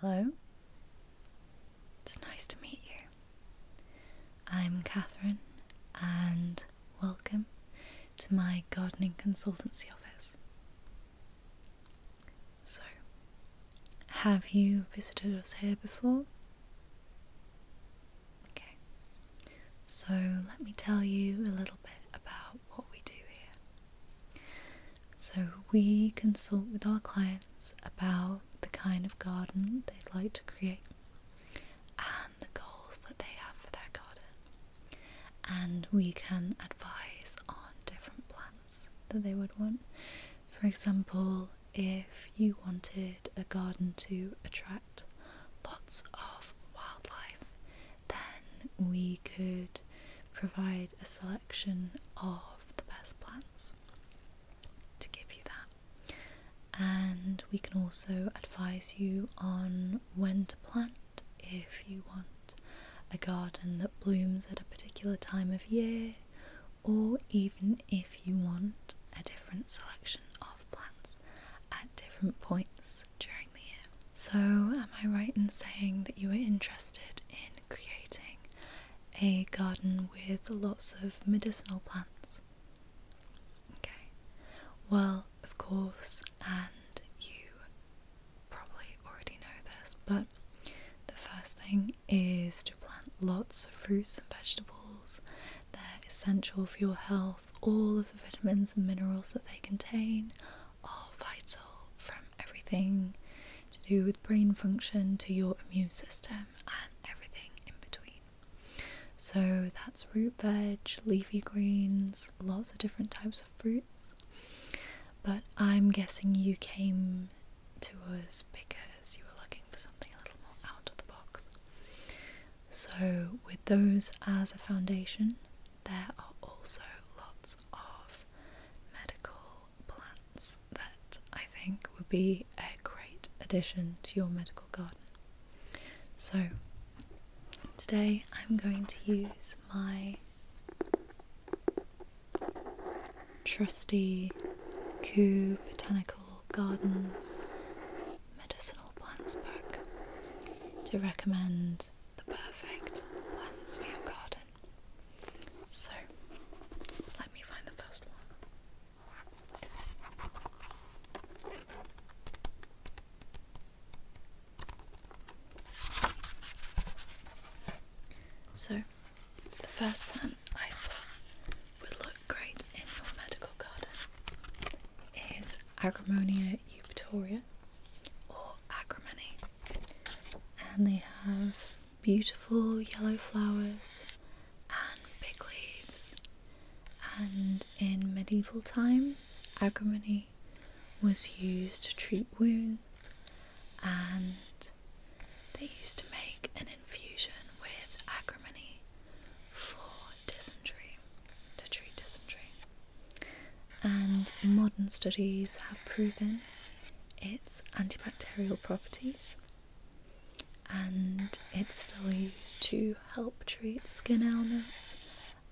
Hello. It's nice to meet you. I'm Catherine, and welcome to my gardening consultancy office. So, have you visited us here before? Okay, so let me tell you a little bit about what we do here. So, we consult with our clients about the kind of garden they'd like to create and the goals that they have for their garden. And we can advise on different plants that they would want. For example, if you wanted a garden to attract lots of wildlife, then we could provide a selection of the best plants to give you that. And we can also advise you on when to plant if you want a garden that blooms at a particular time of year, or even if you want a different selection of plants at different points during the year. So, am I right in saying that you are interested in creating a garden with lots of medicinal plants. Okay, well, of course, and you probably already know this, but the first thing is to plant lots of fruits and vegetables. They're essential for your health. All of the vitamins and minerals that they contain are vital from everything to do with brain function to your immune system and everything in between. So that's root veg, leafy greens, lots of different types of fruits. But I'm guessing you came to us because you were looking for something a little more out of the box. So, with those as a foundation, there are also lots of medical plants that I think would be a great addition to your medical garden. So, today I'm going to use my trusty Coup Botanical Gardens medicinal plants book to recommend the perfect plants for your garden. So, let me find the first one. So, the first plant I thought would look great in your medical garden is Agramonia eupatoria or acrimony. And they have beautiful yellow flowers and big leaves. And in medieval times, agrimony was used to treat wounds, and they used to make an infusion with agrimony for dysentery to treat dysentery and modern studies have proven its antibacterial properties and it's still used to help treat skin ailments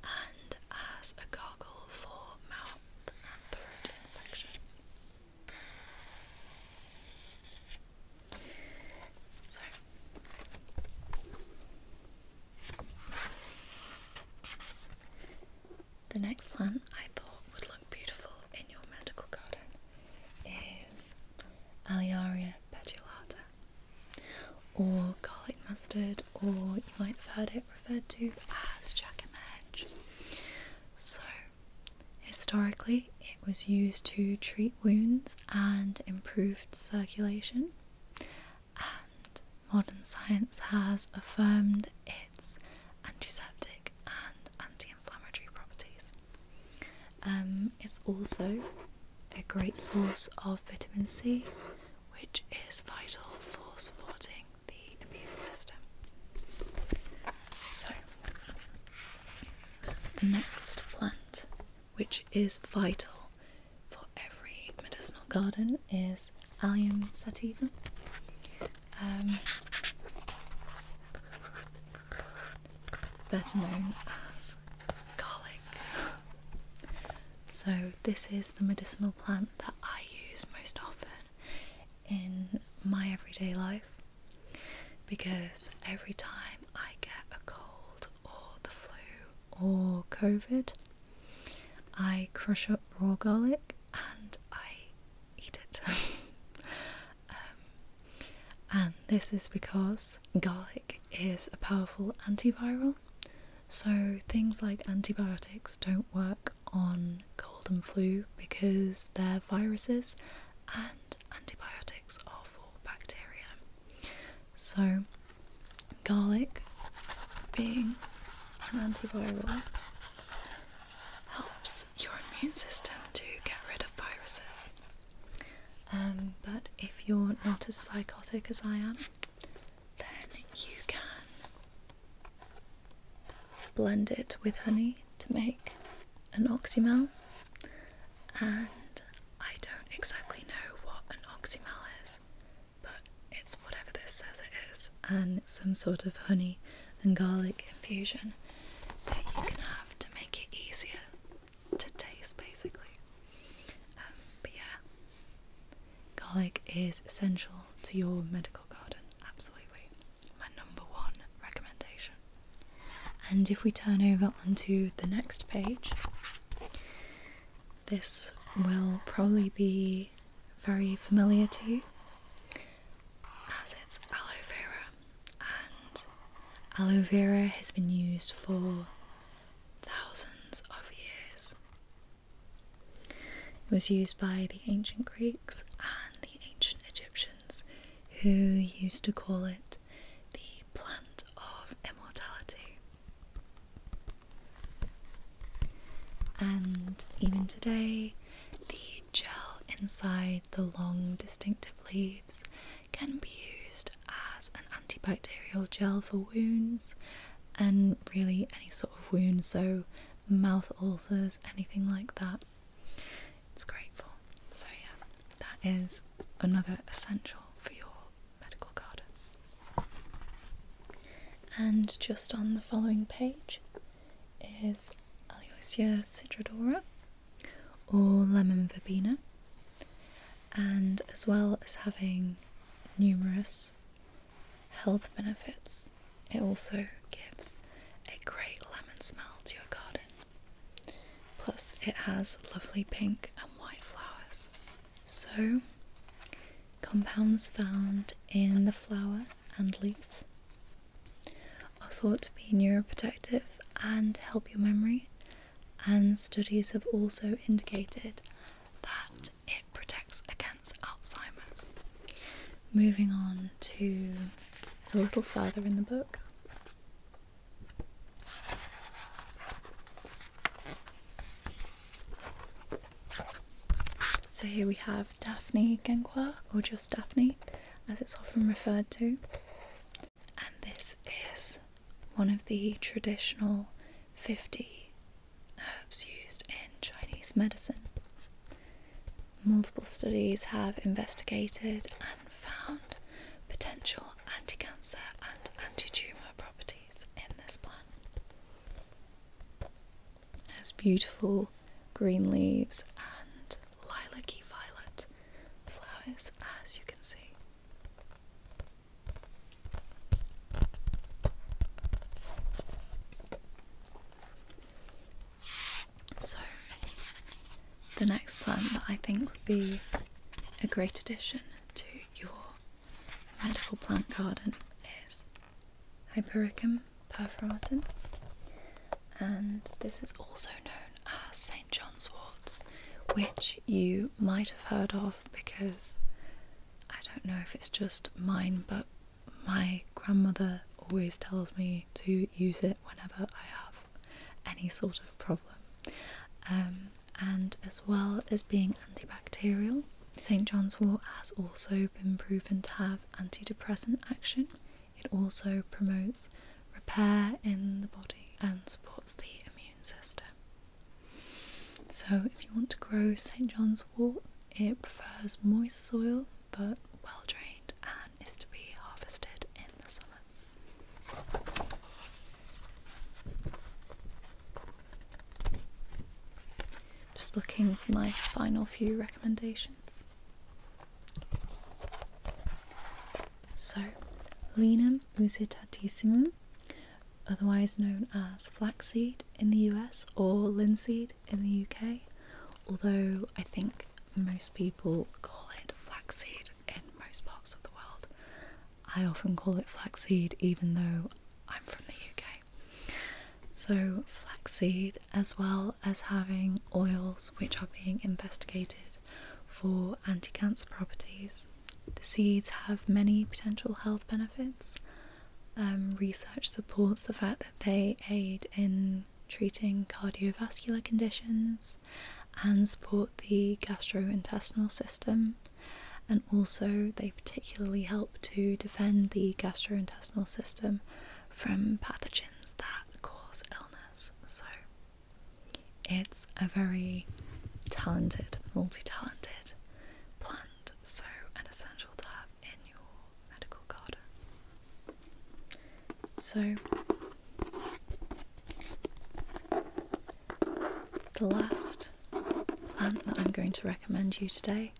and as a gargle for mouth and throat infections. The next plant I thought would look beautiful in your medical garden is Aliaria petulata, or garlic mustard, or you might have heard it referred to as jack in the hedge. So, historically, it was used to treat wounds and improved circulation, modern science has affirmed its antiseptic and anti inflammatory properties. Um, it's also a great source of vitamin C, which is vital for supporting the immune system. So, the next plant, which is vital for every medicinal garden, is is Allium sativa. Um, better known as garlic. So, this is the medicinal plant that I use most often in my everyday life because every time I get a cold or the flu or COVID, I crush up raw garlic and I eat it. Um, and this is because garlic is a powerful antiviral, so things like antibiotics don't work on cold and flu because they're viruses and antibiotics are for bacteria. So, garlic being an antiviral helps your immune system to get rid of viruses. Um, but if you're not as psychotic as I am, then you can blend it with honey to make an oxymel. And I don't exactly know what an oxymel is, but it's whatever this says it is, and it's some sort of honey and garlic infusion that you can have to make it easier to taste basically. Um, but yeah, garlic is essential to your medical garden, absolutely. My number one recommendation. And if we turn over onto the next page, this will probably be very familiar to you as it's aloe vera, and aloe vera has been used for thousands of years. It was used by the ancient Greeks and the ancient Egyptians, who used to call it the plant of immortality. And even today, the gel inside the long, distinctive leaves can be used as an antibacterial gel for wounds and really any sort of wound, so mouth ulcers, anything like that. It's great for. So, yeah, that is another essential for your medical garden. And just on the following page is Aloesia citrodora or lemon verbena, and as well as having numerous health benefits, it also gives a great lemon smell to your garden. Plus, it has lovely pink and white flowers. So, compounds found in the flower and leaf are thought to be neuroprotective and help your memory, and studies have also indicated that it protects against Alzheimer's. Moving on to a little further in the book. So here we have Daphne Genghua, or just Daphne as it's often referred to. And this is one of the traditional 50 herbs used in Chinese medicine. Multiple studies have investigated and found potential anti cancer and anti tumour properties in this plant. It has beautiful green leaves and lilac-y violet flowers as you can see. So the next plant that I think would be a great addition to your medical plant garden is Hypericum perforatum, and this is also known as St. John's wort, which you might have heard of because I don't know if it's just mine, but my grandmother always tells me to use it whenever I have any sort of problem. Um, and as well as being antibacterial, St. John's wort has also been proven to have antidepressant action. It also promotes repair in the body and supports the immune system. So, if you want to grow St. John's wort, it prefers moist soil but well drained and is to be harvested in the summer. Just looking for my final few recommendations. So, Linum usitatissimum, otherwise known as flaxseed in the US or linseed in the UK, although I think most people call it flaxseed in most parts of the world. I often call it flaxseed, even though I'm from the UK. So, flaxseed, as well as having oils which are being investigated for anti cancer properties, the seeds have many potential health benefits. Um, research supports the fact that they aid in treating cardiovascular conditions and support the gastrointestinal system, and also they particularly help to defend the gastrointestinal system from pathogens that cause illness. So it's a very talented, multi-talented plant, so an essential to have in your medical garden. So the last plant that I'm going to recommend you today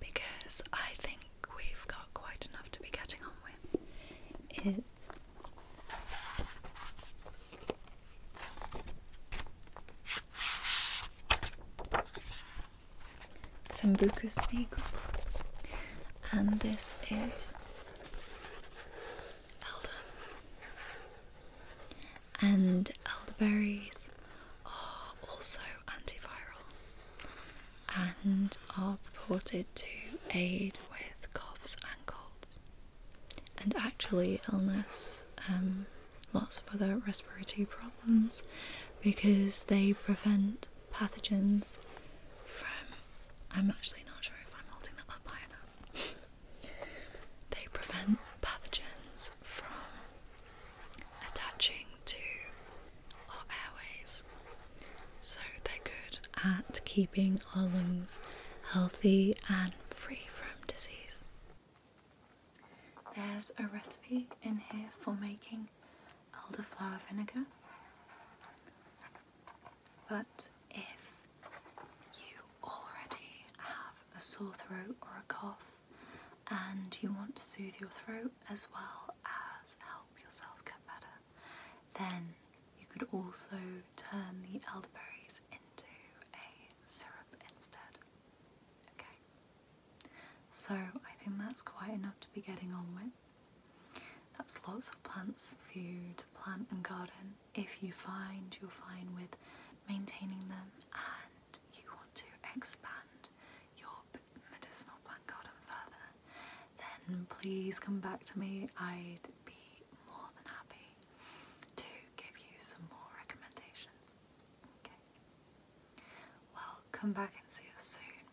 because I think we've got quite enough to be getting on with. Is Sambucus Sneagle, and this is Elder and elderberries are also antiviral and are purported to aid with coughs and colds. And actually, illness, um, lots of other respiratory problems because they prevent pathogens from. I'm actually not sure if I'm holding that up high enough. They prevent pathogens from attaching to our airways. So they're good at keeping our lungs healthy and free from disease. There's a recipe in here for making elderflower vinegar. But if you already have a sore throat or a cough and you want to soothe your throat as well as help yourself get better, then you could also turn the elderberries into a syrup instead. Okay, so I think that's quite enough to be getting on with. That's lots of plants for you to plant and garden if you find you're fine with maintaining them and you want to expand your medicinal plant garden further, then please come back to me. I'd be more than happy to give you some more recommendations. Okay. Well, come back and see us soon,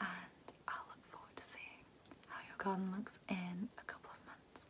and I'll look forward to seeing how your garden looks in a couple of months.